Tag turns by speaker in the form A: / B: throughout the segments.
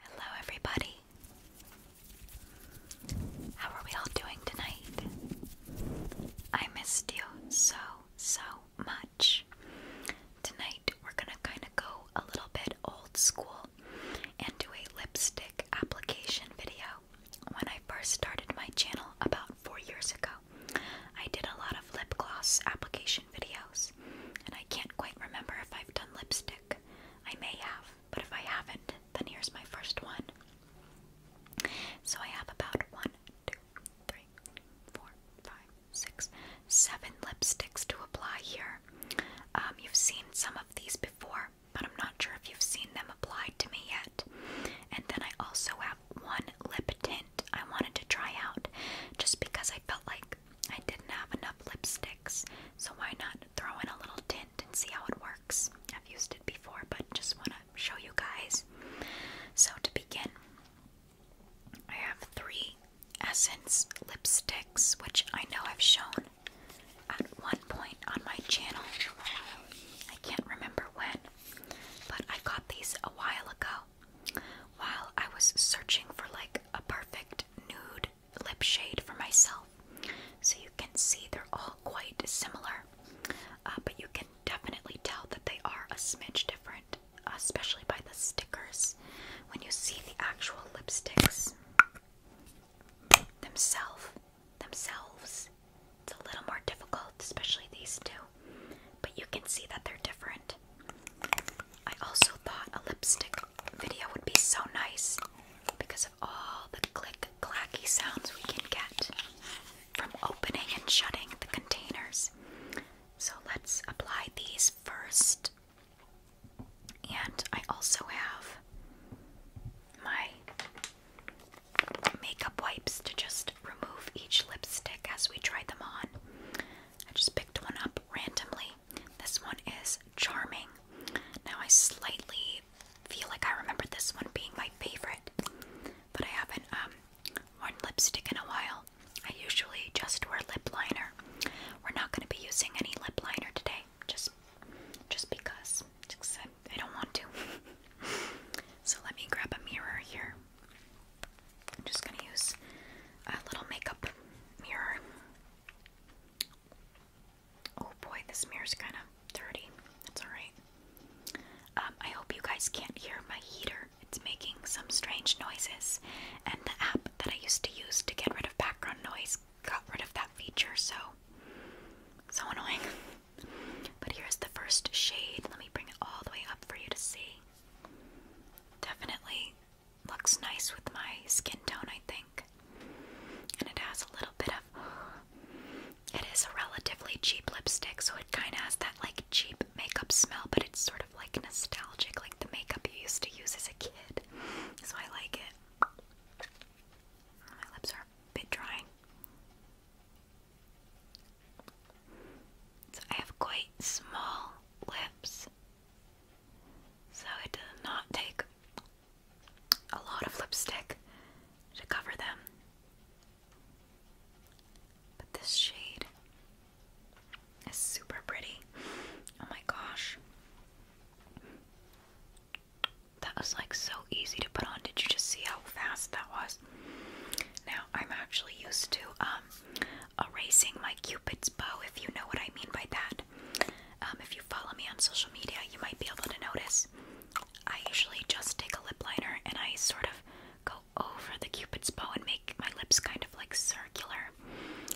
A: Hello, everybody. How are we all doing tonight? I missed you so, so much. Tonight, we're gonna kind of go a little bit old school and do a lipstick application video. When I first started my channel about four years ago, I did a lot of lip gloss application videos, and I can't quite remember if I've done lipstick. I may have, but if I haven't, then here's my first one. So I have about one, two, three, four, five, six, seven lipsticks to apply here. Um, you've seen some of these before, but I'm not sure if you've seen them applied to me yet. And then I also have one lip tint I wanted to try out just because I felt like I didn't have enough lipsticks, so why not throw in a little tint and see how it works? I've used it before, but just want to show you guys. So, to begin, I have three Essence lipsticks, which I know I've shown at one point on my channel. I can't remember when, but I got these a while ago while I was searching for like a perfect nude lip shade for myself. So you can see they're all quite similar, uh, but you can definitely tell that they are a smidge different, especially by the stickers. When you see the actual lipsticks themselves, themselves, it's a little more difficult, especially these two. But you can see that they're different. I also thought a lipstick video would be so nice because of all the click clacky sounds we can get from opening and shutting the containers. So let's apply these first. And I also have my makeup wipes to just remove each lipstick as we try them on. I just picked one up randomly this one is Charming. Now, I slightly feel like I remember this one being my favorite, but I haven't um, worn lipstick in a while. I usually just wear lip liner. We're not going to be using any lip liner today, just just because. Just I don't want to. so let me grab a mirror here. I'm just going to use a little makeup mirror. Oh boy, this mirror's kind of dirty. That's alright. Um, I hope you guys can't hear my heater. It's making some strange noises, and the app that I used to use to get rid of background noise got rid of that feature, so. So annoying. But here's the first shade. Let me bring it all the way up for you to see. Definitely looks nice with my skin tone, I think. And it has a little bit of. It is a relatively cheap lipstick, so it kind of has that like cheap makeup smell, but it's sort of like nostalgic, like the makeup you used to use as a kid. So I like it. My lips are a bit dry. So I have quite small lips. So it does not take a lot of lipstick to cover them. But this shade is super pretty. Oh my gosh. That was like so easy to put on. Did you just see how fast that was? Now I'm actually used to um, erasing my Q. Cupid's bow, if you know what I mean by that. Um, if you follow me on social media, you might be able to notice. I usually just take a lip liner and I sort of go over the Cupid's bow and make my lips kind of like circular.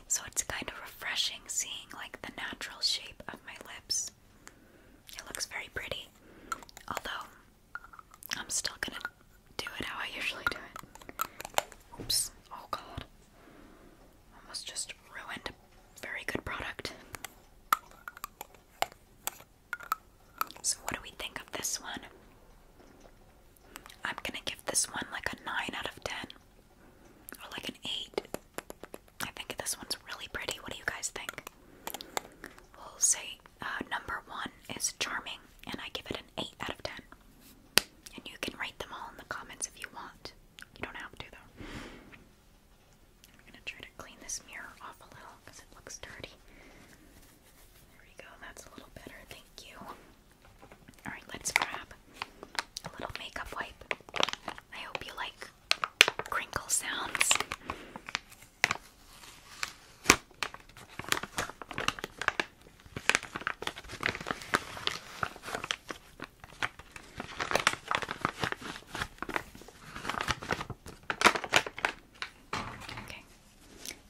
A: So it's kind of refreshing seeing like the natural shape of my lips. It looks very pretty. Although, I'm still gonna do it how I usually do it. Oops. Oh god. Almost just ruined a very good product. So, what do we think of this one? I'm gonna give this one like a 9 out of 10, or like an 8. I think this one's really pretty. What do you guys think? We'll say uh, number 1 is charming, and I give it an 8 out of 10. And you can write them all in the comments if you want. You don't have to, though. I'm gonna try to clean this mirror off a little because it looks dirty. There we go, that's a little better, thank you. Alright, let's grab a little makeup wipe. I hope you like crinkle sounds.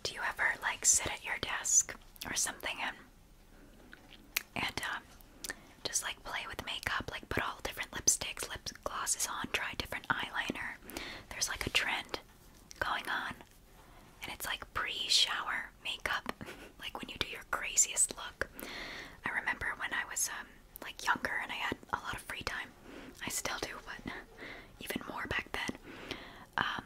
A: Do you ever like sit at your desk or something and um, just like play with makeup, like put all different lipsticks, lip glosses on, try different eyeliner. There's like a trend going on, and it's like pre-shower makeup. like when you do your craziest look. I remember when I was um, like younger and I had a lot of free time. I still do, but even more back then. Um,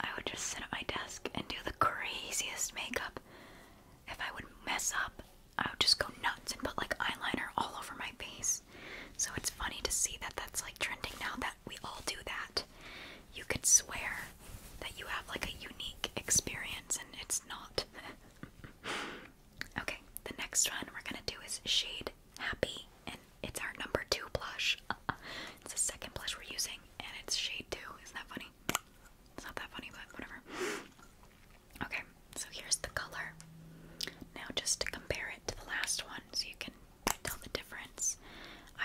A: I would just sit at my desk and do the craziest makeup. If I would mess up, I would just go nuts and put like eyeliner all over my face. So it's funny to see that that's like trending now that we all do that you could swear that you have like a unique experience and it's not. okay, the next one we're gonna do is shade happy, and it's our number two blush. It's the second blush we're using, and it's shade two. Isn't that funny? It's not that funny, but whatever. Okay, so here's the color. Now, just to compare it to the last one so you can tell the difference,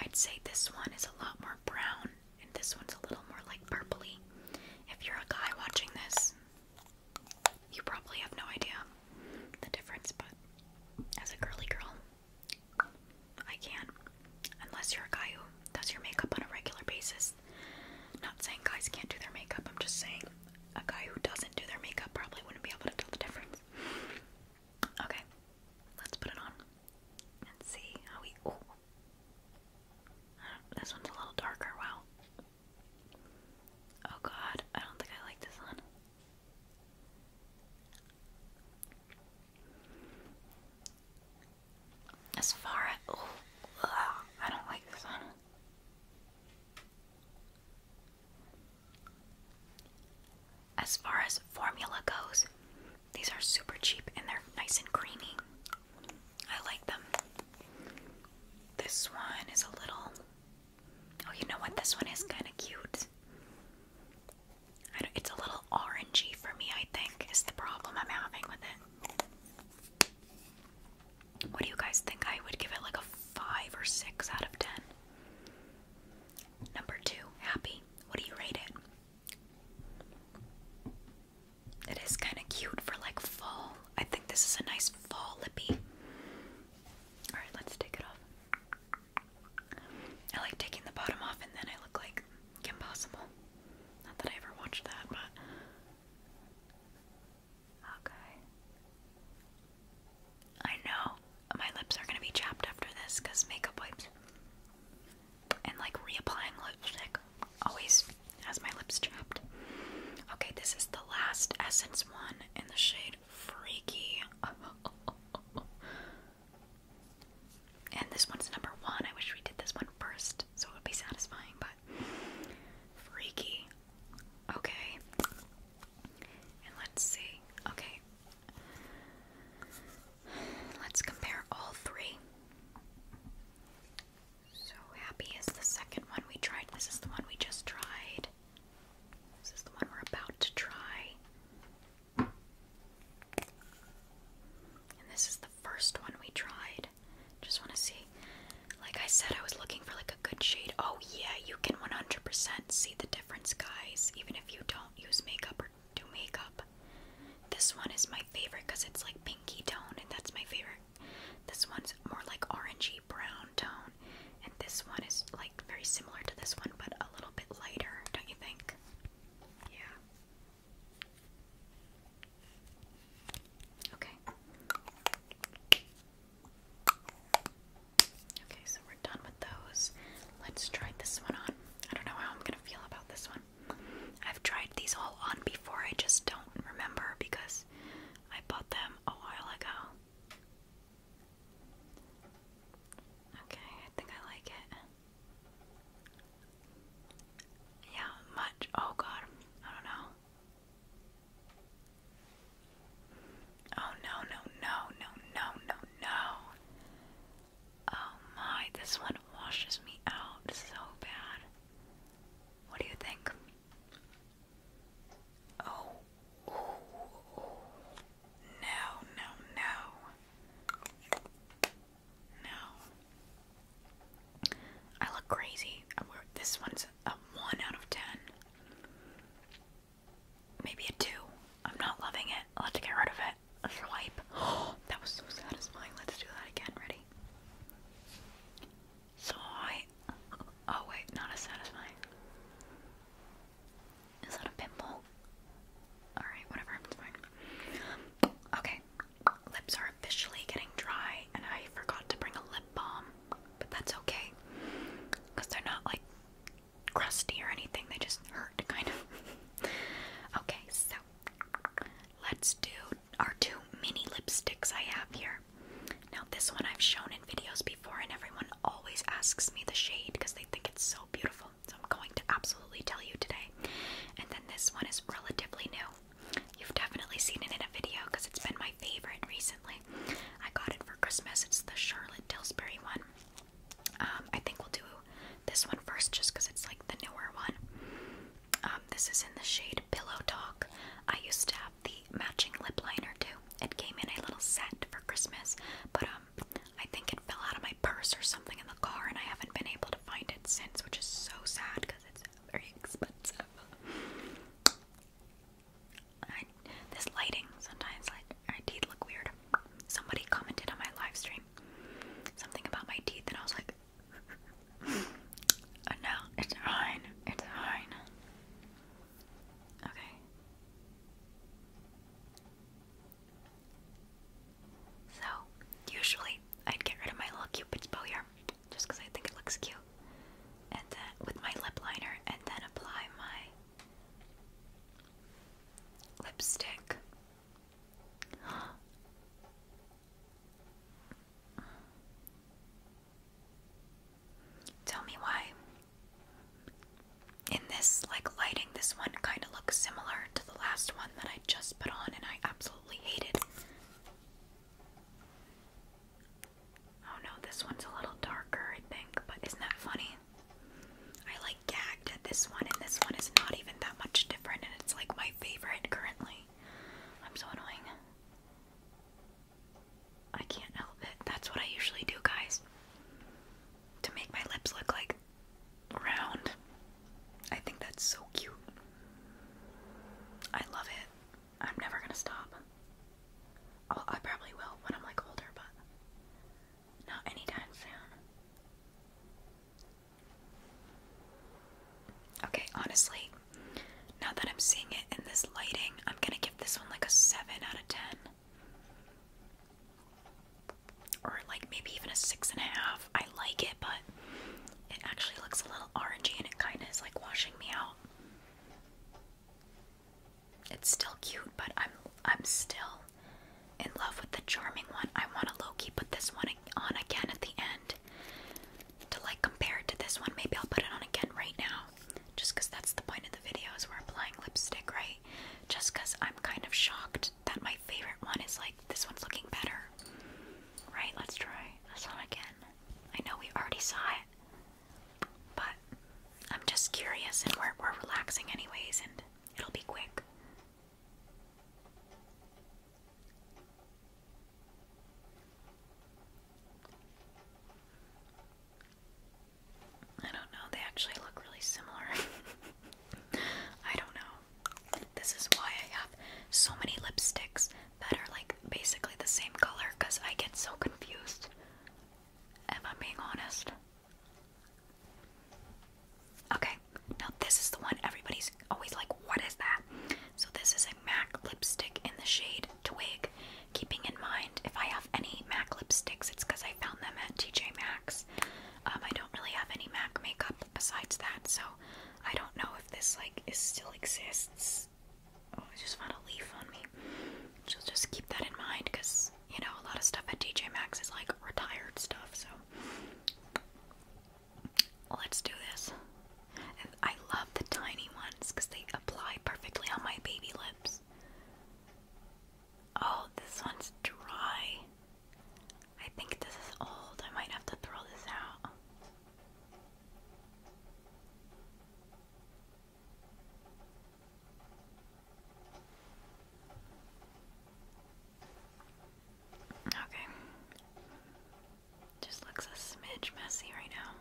A: I'd say this one is a lot more brown and this one's a little more like purpley. If you're a guy watching this, you probably have no idea the difference, but as a girly girl, I can. Unless you're a guy who does your makeup on a regular basis. Not saying guys can't do their makeup, I'm just saying a guy who doesn't do their makeup probably wouldn't be able to tell the difference. Okay, let's put it on and see how we. This one's a little darker, wow. Oh god, I don't think I like this one. As far as. Oh, I don't like this one. As far as formula goes, these are super cheap and they're nice and creamy. I like them. This one is a little. Oh, you know what? This one is kind of cute. it's a little orangey for me, I think, is the problem I'm having with it. What do you guys think? I would give it like a 5 or 6 out of 10. Number 2, Happy. What do you rate it? It is kind of cute for like fall. I think this is a nice fall lippy. Alright, let's take it off. I like taking the bottom off and then I look like Kim Not that I ever watched that, but. Okay. I know my lips are gonna be chapped after this because makeup wipes and like reapplying lipstick always has my lips chapped. Okay, this is the last Essence one in the shade Freaky. and this one's number one. I wish we did this one first so it would be satisfying, but Freaky. Okay. And let's see. Okay. Let's compare all three. So happy is the second one we tried. This is the one we just tried. This is the one we're about to try. And this is the first one we tried. Just want to see. Like I said, I was looking for like a good shade. Oh yeah, you can 100% see the difference, guys, even if you don't use makeup or do makeup. This one is my favorite because it's like pinky tone, and that's my favorite. This one's more like orangey brown tone, and this one is like very similar to this one, but a little bit lighter, don't you think? Yeah. Okay. Okay, so we're done with those. Let's try this one on. I don't know how I'm gonna feel about this one. I've tried these all on before, I just don't remember because I bought them a while ago. Okay, I think I like it. Yeah, much. Oh god, I don't know. Oh no, no, no, no, no, no, no. Oh my, this one washes me out so bad. What do you think? Oh, no, no, no. No. I look crazy. This one's a 1 out of 10. Maybe a 2. I'm not loving it. i have to get rid of it swipe. that was so satisfying. Let's do that again. Ready? Swipe. Oh, wait, not as satisfying. Is that a pimple? Alright, whatever, Okay, lips are officially getting dry, and I forgot to bring a lip balm, but that's okay. Because they're not like crusty or anything, they just hurt kind of. okay, so let's do are two mini lipsticks I have here. Now, this one I've shown in videos before, and everyone always asks me the shade because they think it's so beautiful. So, I'm going to absolutely tell you today. And then this one is relatively new. You've definitely seen it in a video because it's been my favorite recently. I got it for Christmas. It's the Charlotte Tilbury one. Um, I think we'll do this one first just because it's like the newer one. Um, this is in the shade Pillow Talk. I used to have the matching lip liner too. It came in a little set for Christmas, but um, I think it fell out of my purse or something in the car, and I haven't been able to find it since, which is so sad because it's very expensive. this lighting sometimes like I teeth look weird. Somebody commented on my live stream something about my teeth, and I was like, Oh, no, it's fine. It's fine. Okay. So, usually I'd get rid of my little cupid's bow here, just because I think it looks cute, and then with my lip liner, and then apply my lipstick. Tell me why. In this, like, lighting, this one kind of looks similar to the last one that I just put on and I absolutely hated. Oh no, this one's a little darker, I think, but isn't that funny? I like gagged at this one, and this one is not even that much different, and it's like my favorite currently. I'm so annoying. I can't help it. That's what I usually do, guys. To make my lips look like round. I think that's so cute. I love it. I'm never gonna stop. i probably will when I'm like older, but not anytime soon. Okay, honestly, now that I'm seeing it in this lighting, I'm gonna give this one like a 7 out of 10. Or like maybe even a 6.5. I like it, but it actually looks a little orangey and it kinda is like washing me out. It's still cute, but I'm I'm still in love with the charming one. I want to low-key put this one on again at the end to like compare to this one. Maybe I'll put it on again right now, just that's the point of the video is we're applying lipstick, right? Just I'm kind of shocked that my favorite one is like this one's looking better. Right? Let's try this one again. I know we already saw it, but I'm just curious, and we're we're relaxing anyways, and it'll be quick. I don't know, they actually look really similar. I don't know. This is why I have so many lipsticks that are like basically the same color because I get so confused, if i being honest. Okay, now this is the one everybody's always like, what is that? So this is a MAC lipstick in the shade Twig. Keeping in mind, if I have any MAC lipsticks, it's because I found them at TJ Max. Um, I don't really have any MAC makeup besides that, so I don't know if this like is still exists. Oh, I just found a leaf on me. So just keep that in mind, because you know a lot of stuff at TJ Max is like retired stuff. So Let's do this. I love the tiny ones because they apply perfectly on my baby lips. Oh, this one's dry. I think this is old. I might have to throw this out. Okay. Just looks a smidge messy right now.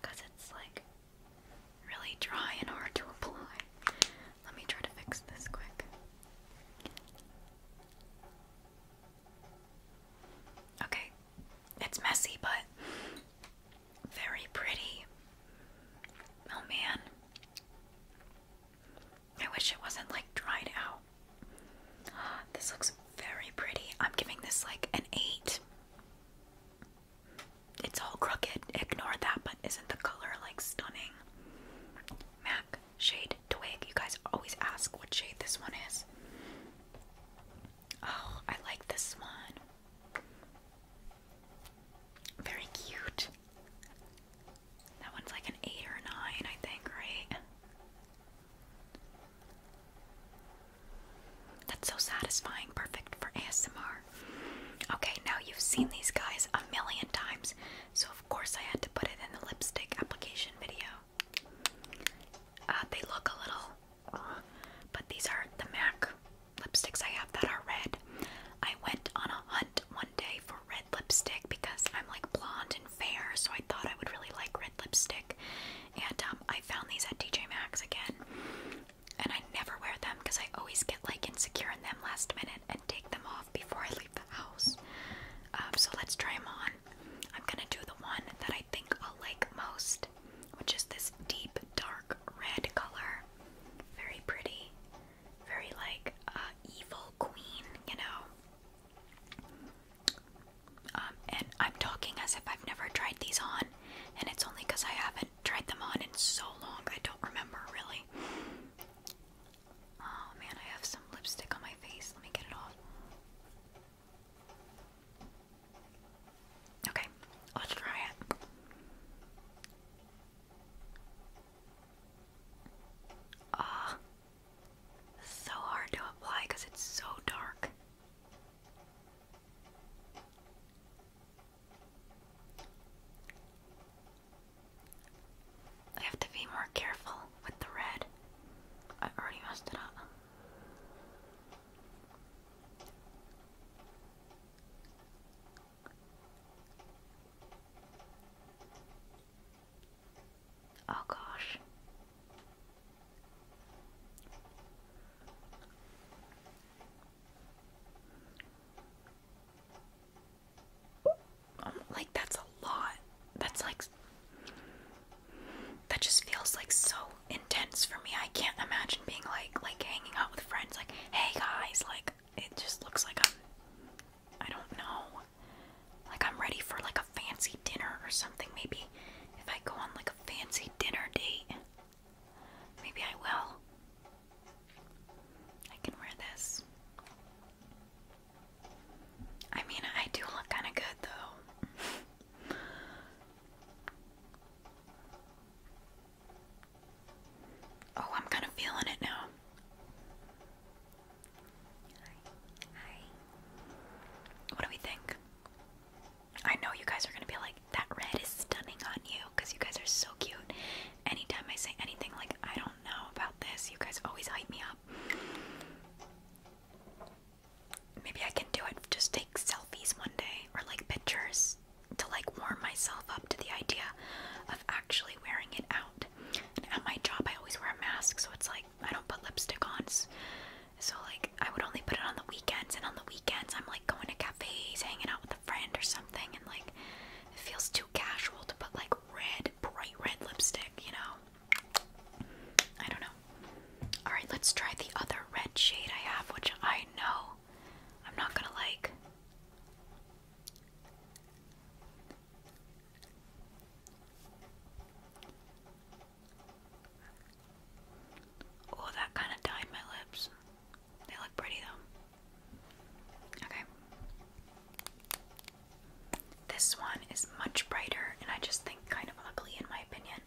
A: Because it's like really dry and hard to apply. Let me try to fix this quick. Okay, it's messy, but very pretty. Oh man. I wish it wasn't like dried out. This looks very pretty. I'm giving this like an 8. It's all crooked. Ignore that, but isn't the color like stunning? MAC shade twig. You guys always ask what shade this one is. Oh, I like this one. Very cute. That one's like an 8 or 9, I think, right? That's so satisfying. Perfect for ASMR. Okay, now you've seen these guys a million times, so of course I had to put it in the lipstick application video. Uh, they look a little, but these are the MAC lipsticks I have that are red. I went on a hunt one day for red lipstick because I'm like blonde and fair, so I thought I would really like red lipstick. And um, I found these at TJ Maxx again, and I never wear them because I always get like insecure in them last minute and take them off before I leave the house. Um, so let's try them on. I'm gonna do the one that I think I'll like most, which is this deep dark red color. Very pretty very like uh, evil queen, you know. Um, and I'm talking as if I've never tried these on, and it's only because I haven't tried them on in so long. I don't remember really. Oh man, I have some lipstick on my face. Let me get it off. Okay, let's try it. Ah, so hard to apply because it's so dark. I have to be more careful with the red. I already messed it up. Oh gosh. Like, that's a lot. That's like. That just feels like so intense for me. I can't imagine being like, like hanging out with friends, like, hey guys, like, it just looks like I'm. I don't know. Like I'm ready for like a fancy dinner or something. Maybe if I go on like a fancy dinner date, maybe I will. I can wear this. I mean, I do look kind of good though. oh, I'm kind of feeling it now. Hi. What do we think? I know you guys are gonna be like, that red is stunning on you because you guys are so cute. Anytime I say anything like, I don't know about this, you guys always hype me up. Maybe I can do it, just take selfies one day or like pictures to like warm myself up to the idea of actually wearing it out at my job, I always wear a mask, so it's like I don't put lipstick on. So like I would only put it on the weekends, and on the weekends I'm like going to cafes, hanging out with a friend or something, and like it feels too casual to put like red, bright red lipstick, you know? I don't know. Alright, let's try the other red shade I have, which I know I'm not gonna like. Oh, that kind of dyed my lips. They look pretty though. Okay. This one is much brighter and I just think kind of ugly in my opinion.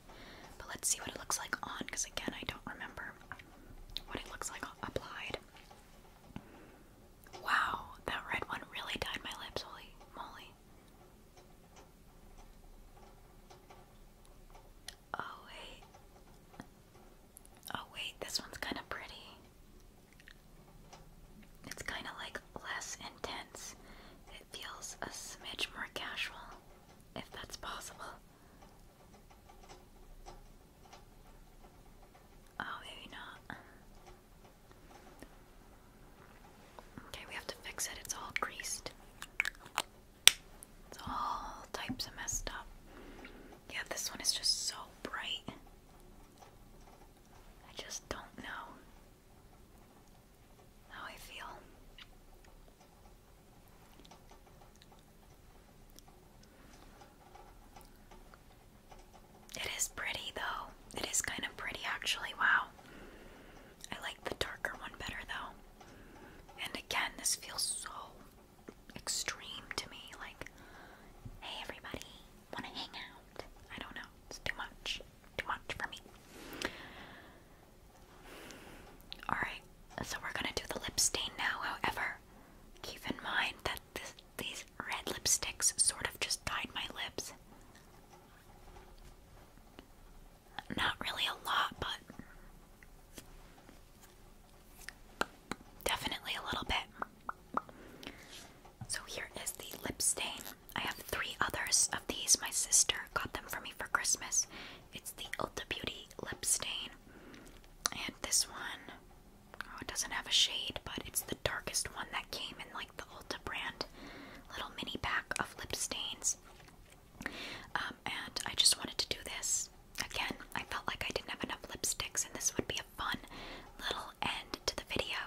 A: But let's see what it looks like on because again, I don't remember what it looks like applied. Wow, that red one really dyed my lips, holy moly. Oh, wait. Oh, wait, this one's kind of pretty. It's kind of like less intense. It feels a smidge more casual, if that's possible. Oh, maybe not. Okay, we have to fix it. It's all greased. It's all types of messed up. Yeah, this one is just so bright. I just don't know how I feel. It is pretty though. It is kind of pretty actually. Wow. I like the darker one better though. And again, this feels so extreme to me. Like, hey everybody, want to hang out? I don't know. It's too much. Too much for me. Alright, so we're gonna do the lip stain now. However, keep in mind that this these red lipsticks sort of just dyed my lips. Not really a lot, but definitely a little bit. So here is the lip stain. I have three others of these. My sister got them for me for Christmas. It's the Ulta Beauty lip stain. And this one Oh, it doesn't have a shade, but it's the darkest one that came in like the Ulta brand little mini pack of lip stains. Um, and I just wanted to do this. Again, I felt like I didn't have enough lipsticks, and this would be a fun little end to the video.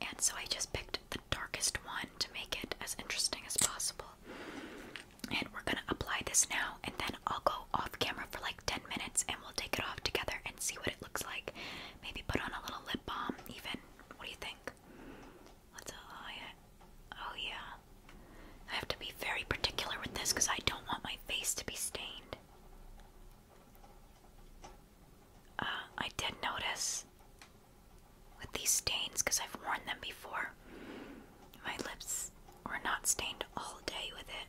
A: And so I just picked the darkest one to make it as interesting as possible. And we're gonna apply this now, and then I'll go off camera for like 10 minutes and we'll take it off together and see what it looks like. Maybe put on a little lip balm, even. What do you think? Let's uh, oh, apply it. Oh, yeah. I have to be very particular with this because I don't want my face to be stained. Uh, I did notice with these stains because I've worn them before. My lips were not stained all day with it.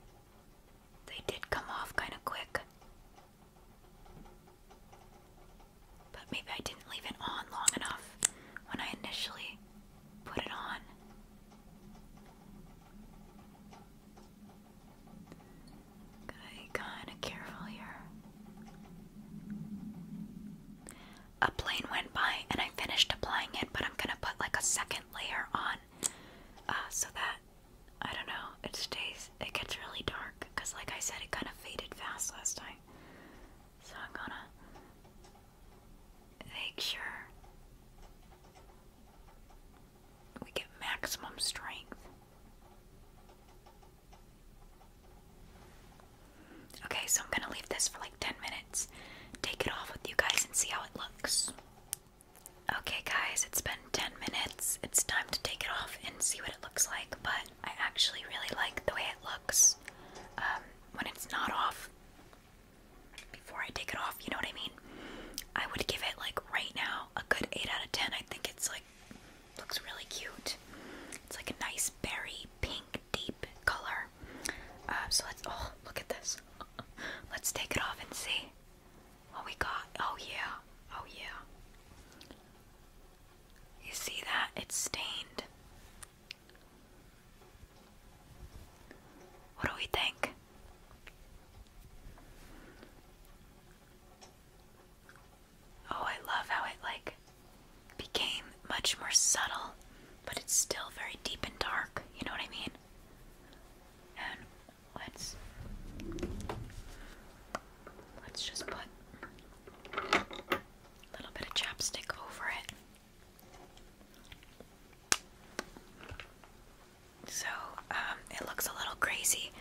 A: They did come off kind of quick. But maybe I didn't leave it on long enough when I initially put it on. Okay, kind of careful here. A plane went by and I finished applying it, but I'm gonna put like a second layer on uh, so that I don't know. It stays. It gets really dark because, like I said, it kind of faded fast last time. So I'm gonna make sure we get maximum strength. Okay, so I'm gonna leave this for like 10 minutes, take it off with you guys, and see how it looks. Okay, guys, it's been 10 minutes. It's time to take it off and see what it looks like, but I actually really like the way it looks um, when it's not off. Before I take it off, you know what I mean? I would give it, like, right now, a good 8 out of 10. I think it's, like, looks really cute. It's, like, a nice berry pink, deep color. Uh, so let's, oh, look at this. let's take it off and see. Oh, we got. Oh, yeah. Oh, yeah. You see that? It's stained. What do we think? Oh, I love how it like became much more subtle, but it's still very deep and dark. You know what I mean? And let's let's just put a little bit of chapstick over it. So um, it looks a little crazy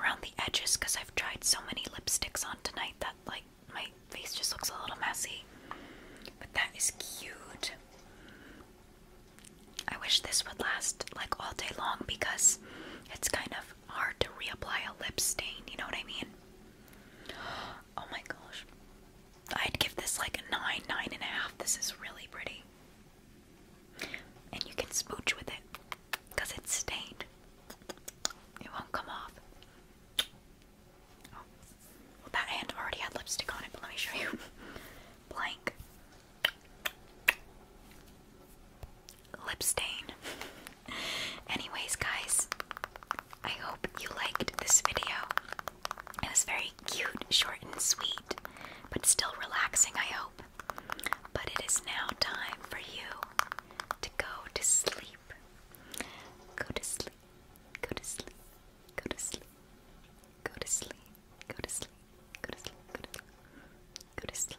A: around the edges because I've tried so many lipsticks on tonight that like my face just looks a little messy. But that is cute. I wish this would last like all day long because it's kind of hard to reapply a lip stain, you know what I mean? Oh my gosh. I'd give this like a 9, 9 This is really pretty. And you can smooch with it because it's stained. It won't come off. Oh. that hand already had lipstick on it, but let me show you. Blank lip stain. Anyways, guys, I hope you liked this video. It was very cute, short, and sweet, but still relaxing, I hope. But it is now time for you to go to sleep. Go to sleep. Go to sleep. Go to sleep. Go to sleep. Go to sleep. Go to sleep. Go to sleep. Go to sleep.